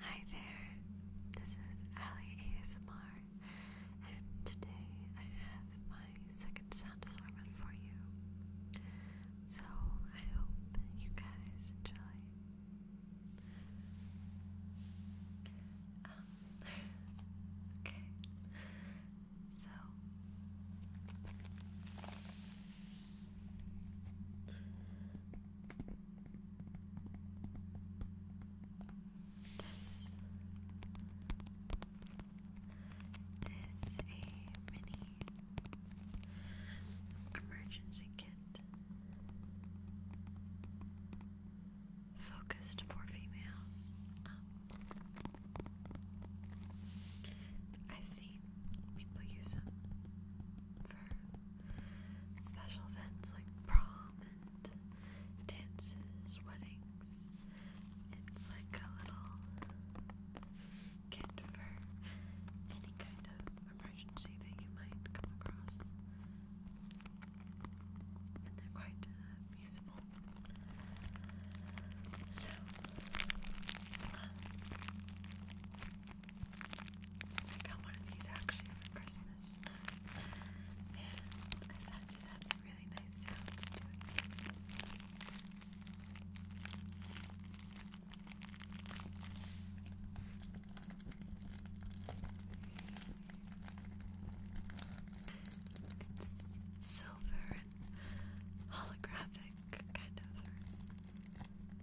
Hi there, this is Ali ASMR, and today I have my second sound assortment for you. So I hope you guys enjoy. Um, okay, so this is a mini emergency kit focused for females. Um, I've seen people use them for special events like prom and dances, weddings. It's like a little kit for any kind of emergency that you might come across. And they're quite uh, So, I got one of these actually for Christmas. and I thought it just had some really nice sounds It's silver and holographic, kind of,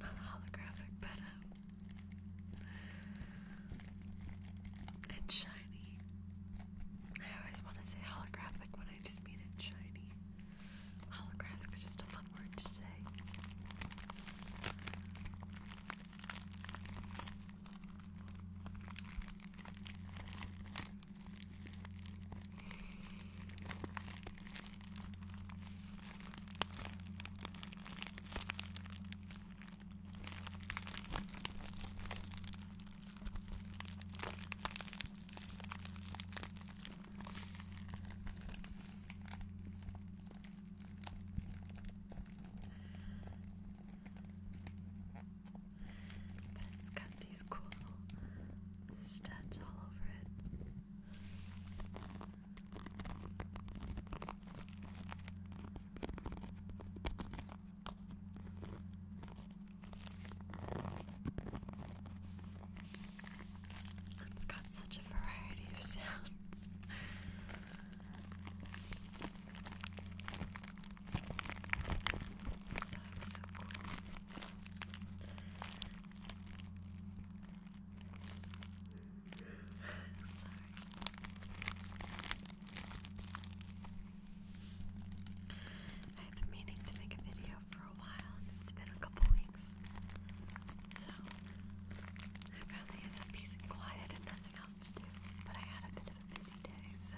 not holographic, but uh, it's shiny. I always want to say holographic when I just mean it shiny. Holographic's just a fun word to say. But it's got these cool studs all over it. It's got such a variety of sounds. That is so cool. Sorry. I've been meaning to make a video for a while it's been a couple weeks. So I finally have some peace quiet and nothing else to do. But I had a bit of a busy day, so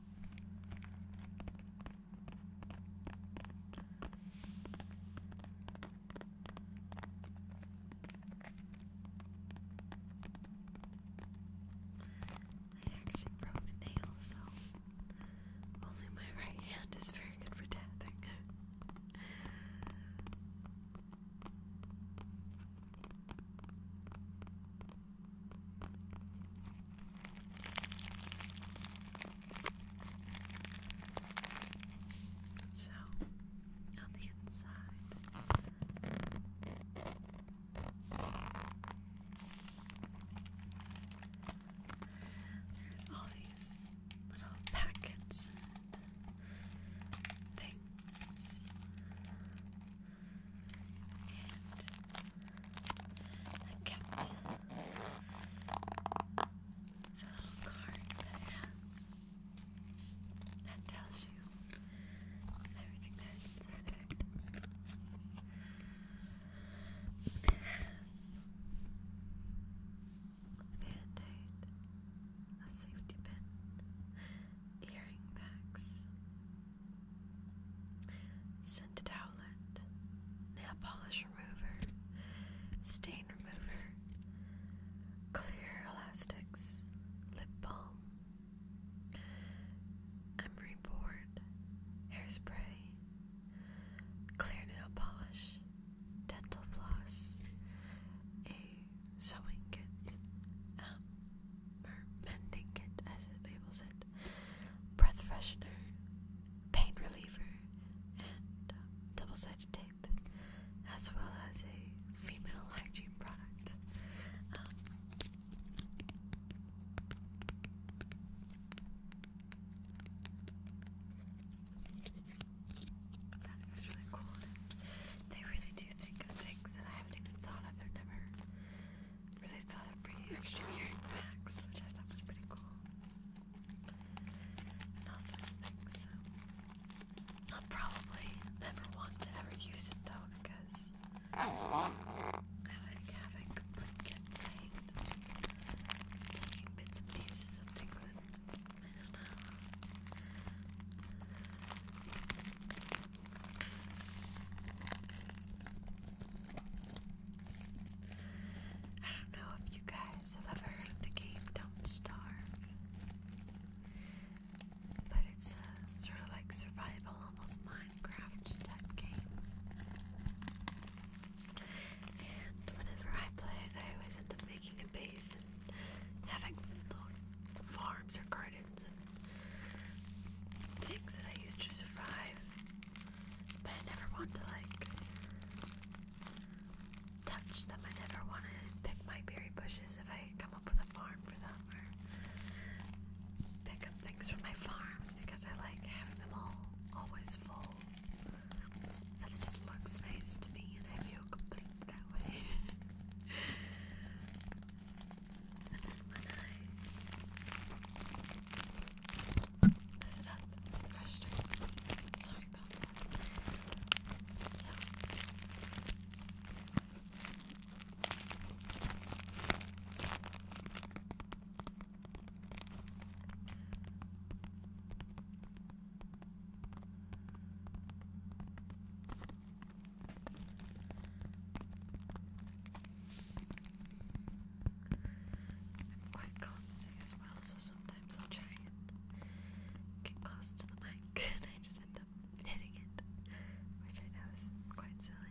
I actually broke a nail, so only my right hand is very good for tapping. So, on the inside, there's all these little packets and things. And I kept the little card that has that tells you everything that is inside it. It has a band a safety pin, earring packs, Scented Howlet, Nail Polish Remover, Stain Remover, Clear Elastics, Lip Balm, Emery Board, Hairspray, Clear Nail Polish, Dental Floss, a Sewing Kit, um, mending kit as it labels it, breath freshener, pain reliever, and um, double sided tape, as well as a female hygiene product. Um, that is really cool. They really do think of things that I haven't even thought of or never where they thought of bringing extra hearing packs, which I thought was pretty cool. And all sorts of things, so. I'll probably never want to ever use it though, because I like having complete contained taking bits and pieces of things I don't know. I don't know if you guys have ever heard of the game Don't Starve, but it's a sort of like survival, almost Minecraft type game. And whenever I play it, I always end up making a base and having farms or gardens things that I used to survive, but I never want to like touch them. I never want to pick my berry bushes if I come up with a farm for them, or pick up things from my farms because I like having them all always full. And it just looks nice to me, and I feel complete that way. And then when I mess it up, it frustrates me. Sorry about that. So. I I'm quite clumsy as well, so sometimes I'll try and get close to the mic and I just end up hitting it, which I know is quite silly.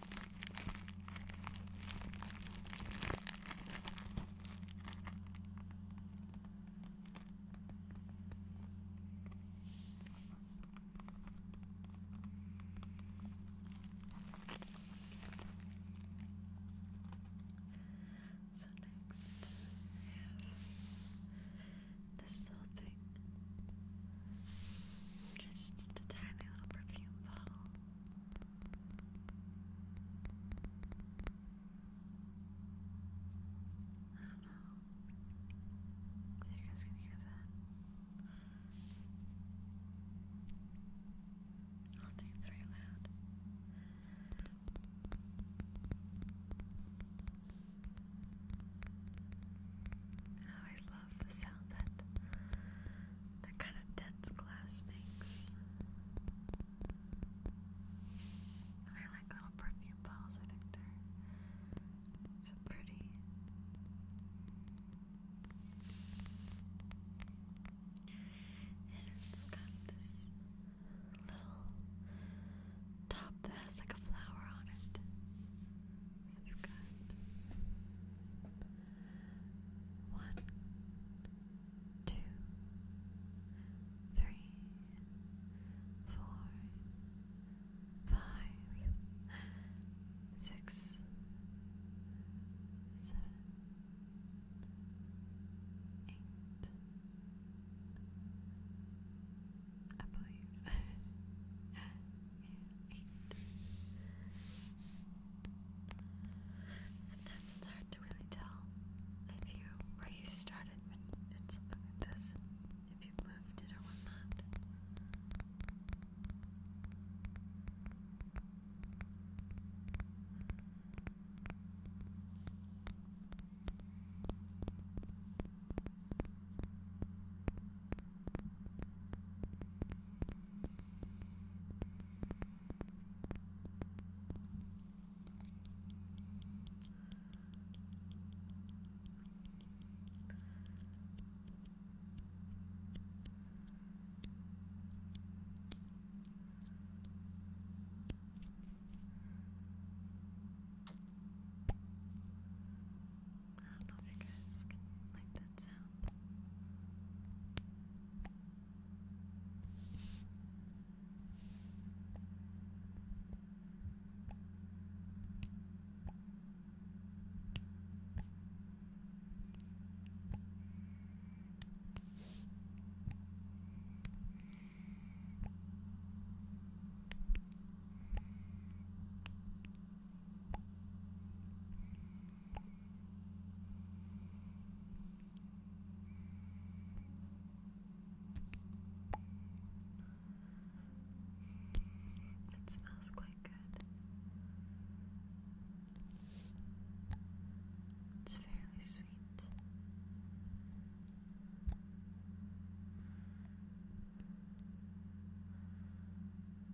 So next I have this little thing. just a tiny little perfume bottle. I you guys can hear that. I don't think it's very loud. Oh, I love the sound that that kind of dense glass makes. I like little perfume bottles, I think they're so pretty. And it's got this little top that has like a flower on it. you've got one, two, three, four, five, six, seven, eight. I believe. Sometimes it's hard to really tell if you where you started when something like this, if you moved it or whatnot. I don't know if you guys can like that sound. It smells quite good. It's fairly sweet.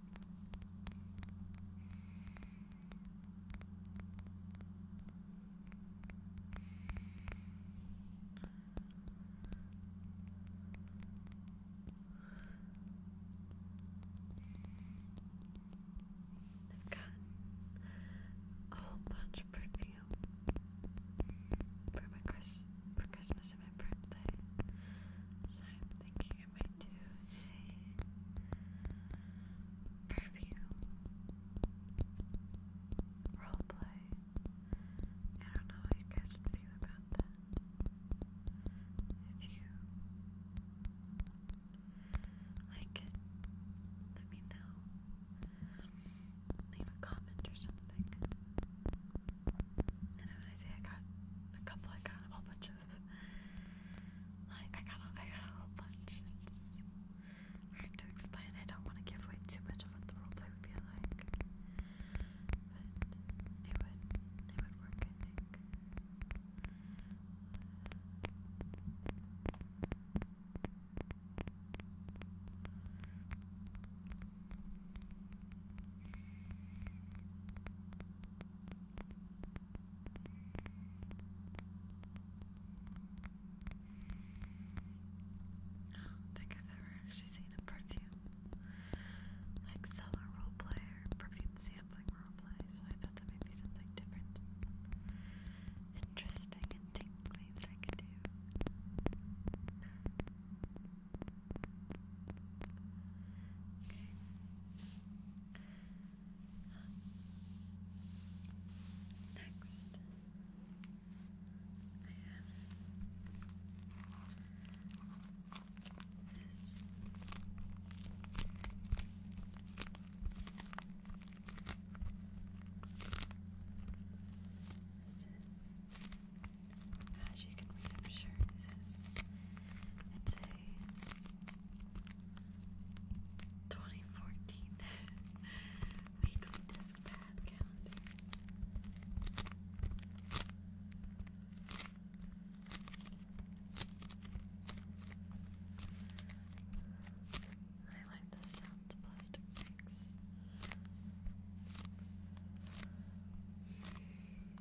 They've got a whole bunch of perfume for my Chris for Christmas to my birthday. So I'm thinking I might do a perfume roleplay. I don't know how you guys would feel about that. If you like it, let me know. Leave a comment or something. And when I got a couple, I got a whole bunch of. Like, I got a, I got a whole bunch. hard to explain. I don't want to give away too much of what the roleplay would be like. But it would, it would work, I do think I've ever actually seen a perfume like seller roleplay or perfume sampling roleplay, so I thought that might be something different, interesting, and tingly that I could do. Okay. Next, I have this. Which is as you can read, I'm sure it is. It's a 2014 weekly disc pad calendar. I like the sound of plastic bags.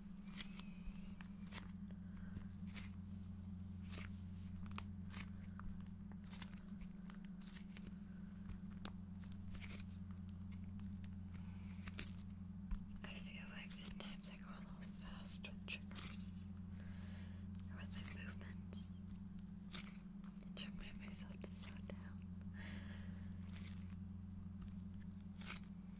I feel like sometimes I go a little fast with triggers or with my movements. To remind myself to slow down.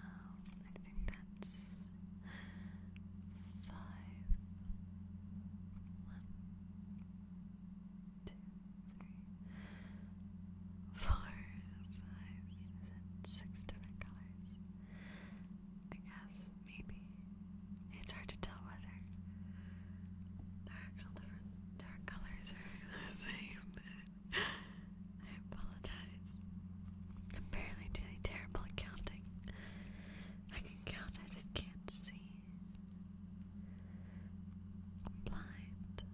um, I think that's five. One, two, different colors. I guess, maybe. It's hard to tell whether they're actual different dark colors are the same. I apologize. I'm barely doing terrible at I can count, I just can't see. blind. But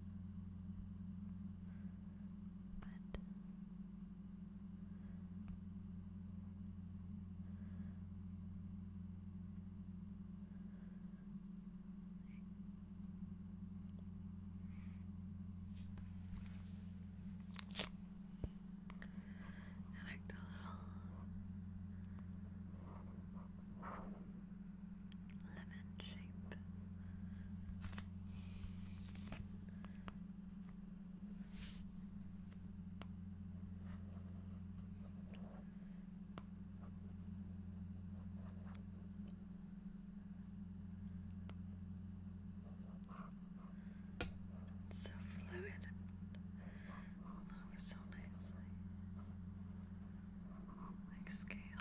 I like little lemon shape so fluid and oh, so nicely. Like scales.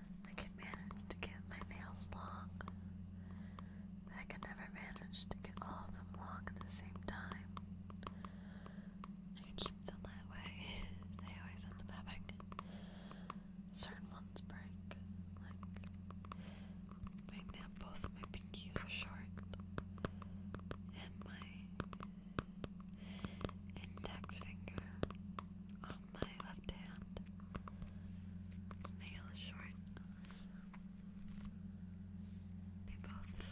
I can manage to get my nails long, but I can never manage to get all of them long at the same time. I keep them that way. They always end up having certain ones break. Like, both of my pinkies are short, and my index finger on my left hand. Nail is short. They both broke.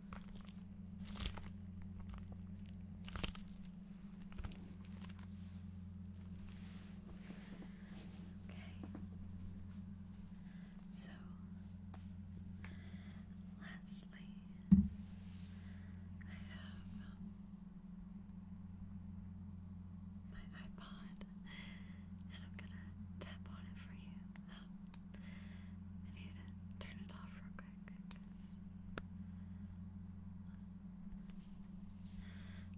So, lastly, I have um, my iPod, and I'm gonna tap on it for you. I need to turn it off real quick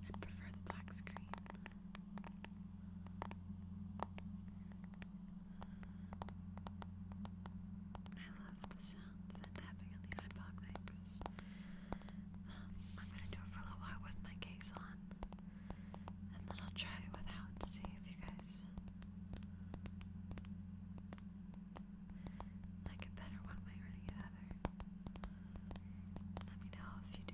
I prefer the black screen. I love the sound of tapping on the iPod mix. Um, I'm gonna do it for a while with my case on, and then I'll try it without, see if you guys like a better one way or the Let me know if you do.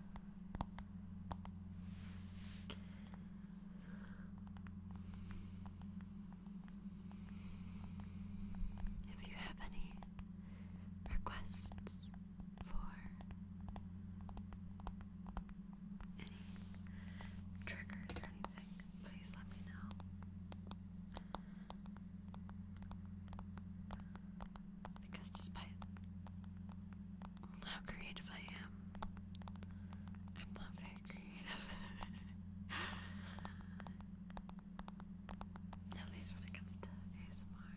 If you have any requests for any triggers or anything, please let me know. Because despite how creative I am, I'm not very creative. At least when it comes to ASMR.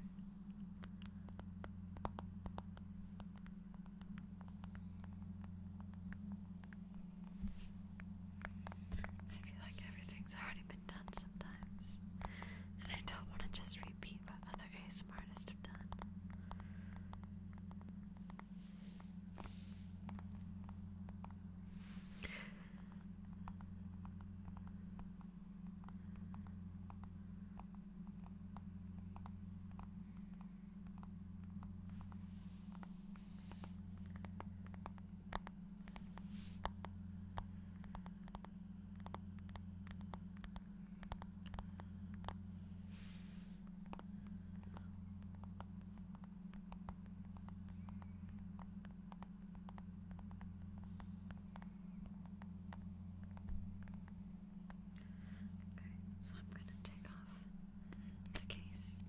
I feel like everything's already been done sometimes, and I don't want to just repeat but that other ASMR artists have done. Okay, so I'm going to take off the case.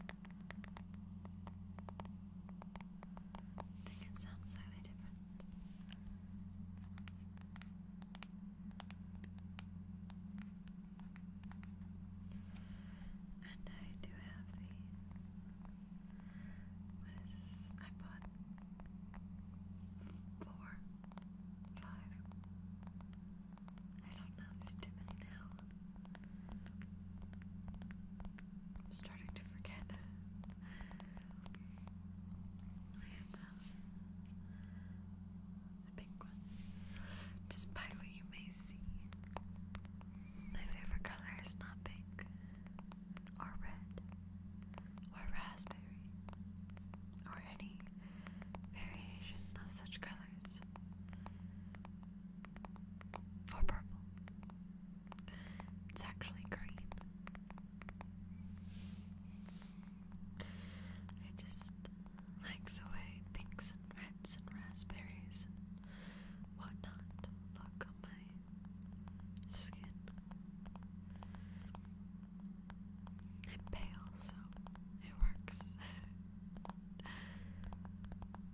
Okay. I think it sounds slightly different. And I do have the what is this? I four, five. I don't know. There's too many now. I'm starting to forget. I am uh, the big one. Despite what you may see, my favorite color is not pink, or red, or raspberry, or any variation of such colors. Or purple. It's actually green. I just like the way pinks and reds and raspberries and whatnot look on my skin. I'm pale, so it works.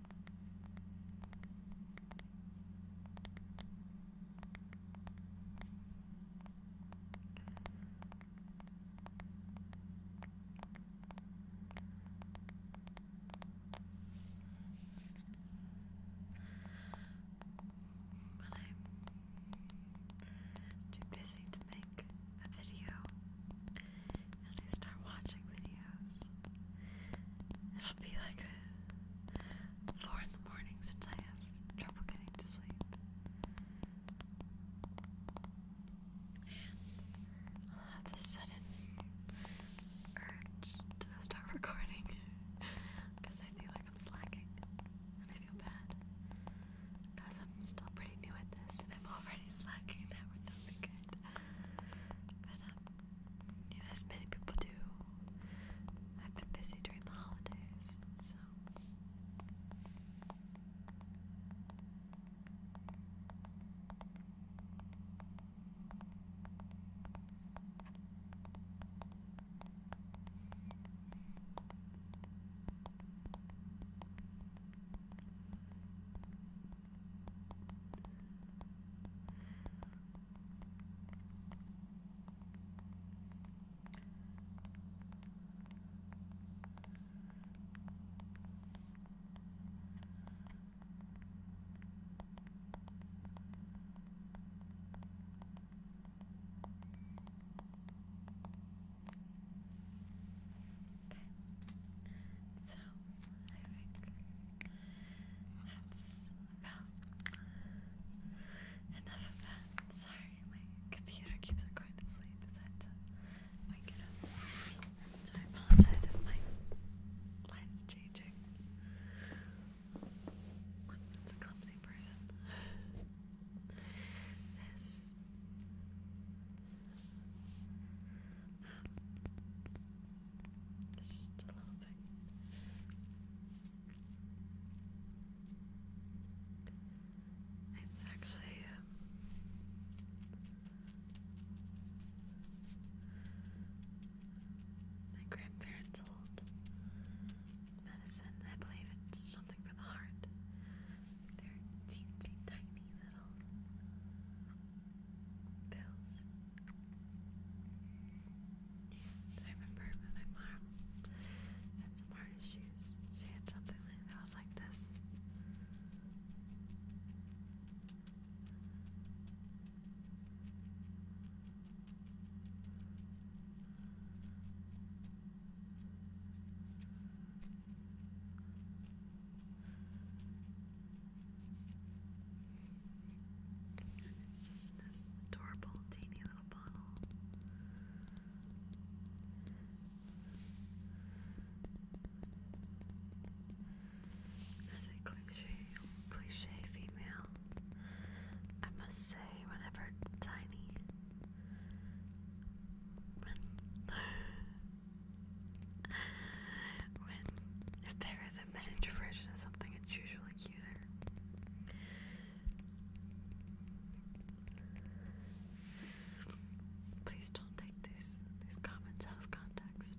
but I'm too busy to make a video and I start watching videos, it'll be like four in the morning since I have trouble getting to sleep. And I'll have sudden urge to start recording because I feel like I'm slacking and I feel bad because I'm still pretty new at this and I'm already slacking. That would not be good. But, um, as many people do. I've been busy during the holidays, so. Okay. So I think that's about enough of that. Sorry, my computer keeps going to sleep, so I had up. So I apologize if my light's changing. That's a clumsy person. This it's just a little bit. It's actually uh, my grandparents' old medicine. I believe it's something for the heart. They're teensy tiny little pills. I remember my mom had some artist shoes. She had something that was like this. It's just this adorable teeny little bottle. As a cliche, cliche female, I must say, whenever Tiny, when, when, if there is the been version or something, it's usually cuter. Please don't take these these comments out of context.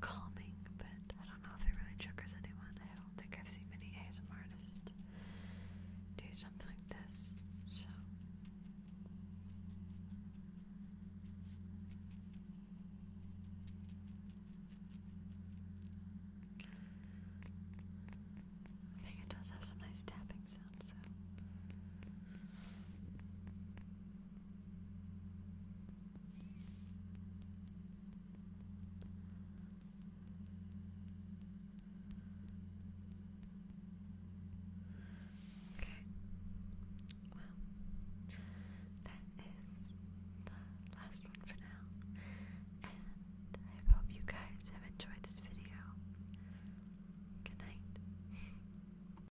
calming, but I don't know if it really triggers anyone. I don't think I've seen many ASM artists do something like this, so. I think it does have some nice tapping sounds, though. Okay. Well, that is the last one for now. And I hope you guys have enjoyed this video. Good night.